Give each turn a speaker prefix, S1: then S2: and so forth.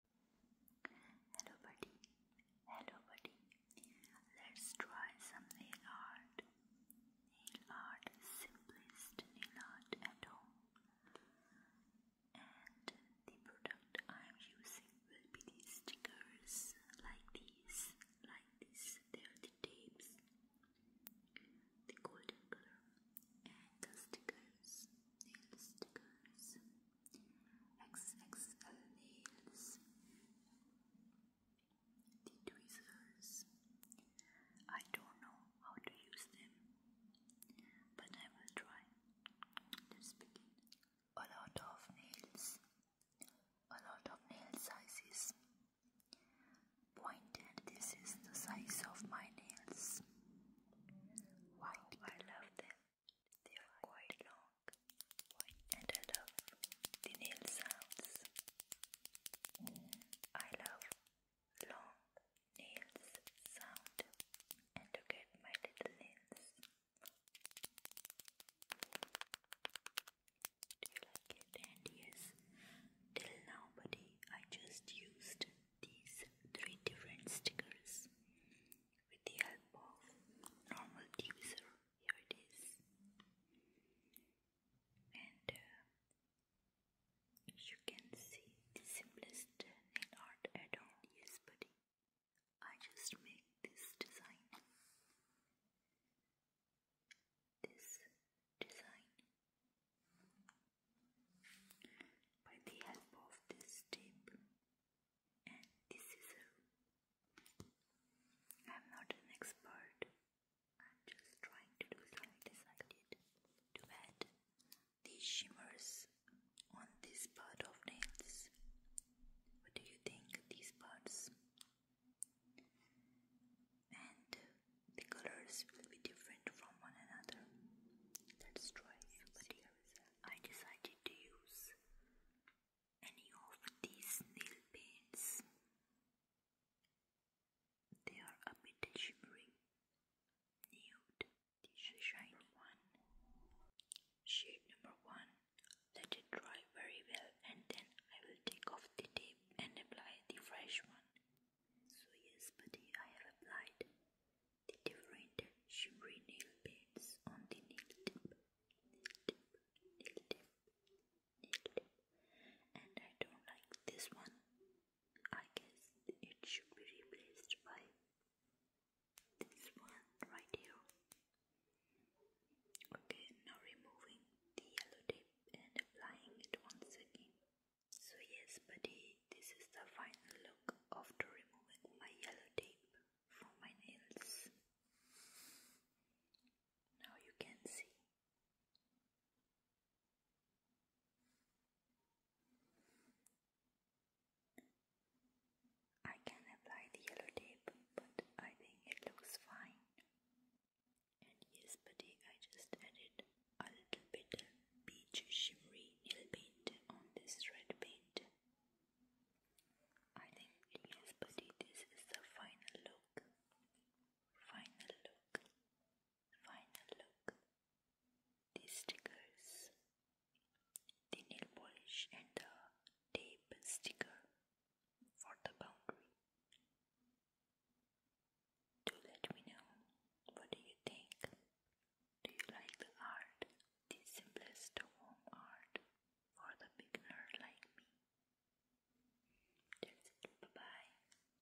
S1: Hello, buddy. Hello, buddy. Let's try some nail art. Nail art simplest nail art at home. And the product I am using will be these stickers, like these, like this. They are the tapes, the golden color, and the stickers nail stickers, XXL nails, the tweezers. I don't know how to use them, but I will try. Let's A lot of nails, a lot of nail sizes. Pointed, this is the size of my nails. White. I love them. They are quite long. And I love the nail sounds. I love long nails sound. And look at my little nails. Do you like it? And yes, till now, buddy, I just used these three different stickers with the help of normal divisor. Here it is, and uh, you can see the simplest nail art at all. Yes, buddy, I just make this design this design. By the help of this tape and this scissor, I'm not an expert. I'm just trying to do so. I decided to add these shimmers on this part of nails. What do you think? These parts and the colors will be different from one another. That's right, but here I decided to use any of these nail paints. They are a bit shimmering, nude. This shiny one. Shade number one, let it dry very well and then I will take off the tape and apply the fresh one. So yes buddy, I have applied the different shimmery nail on the nail tip, nail tip, nail tip, nail tip. And I don't like this one. I guess it should be replaced by this one right here. Okay, now removing the yellow tape and applying it once again. So yes, buddy, this is the final look after removing my yellow tape from my nails. Now you can see. I can apply the yellow tape, but I think it looks fine. And yes, buddy, I just added a little bit of peach shimmery nail paint on this red paint. I think yes, buddy, this is the final look. Final look. Final look. These stickers the nail polish and the uh, tape sticker for the boundary. Do let me know what do you think. Do you like the art? The simplest home art for the beginner like me. That's it. Bye bye.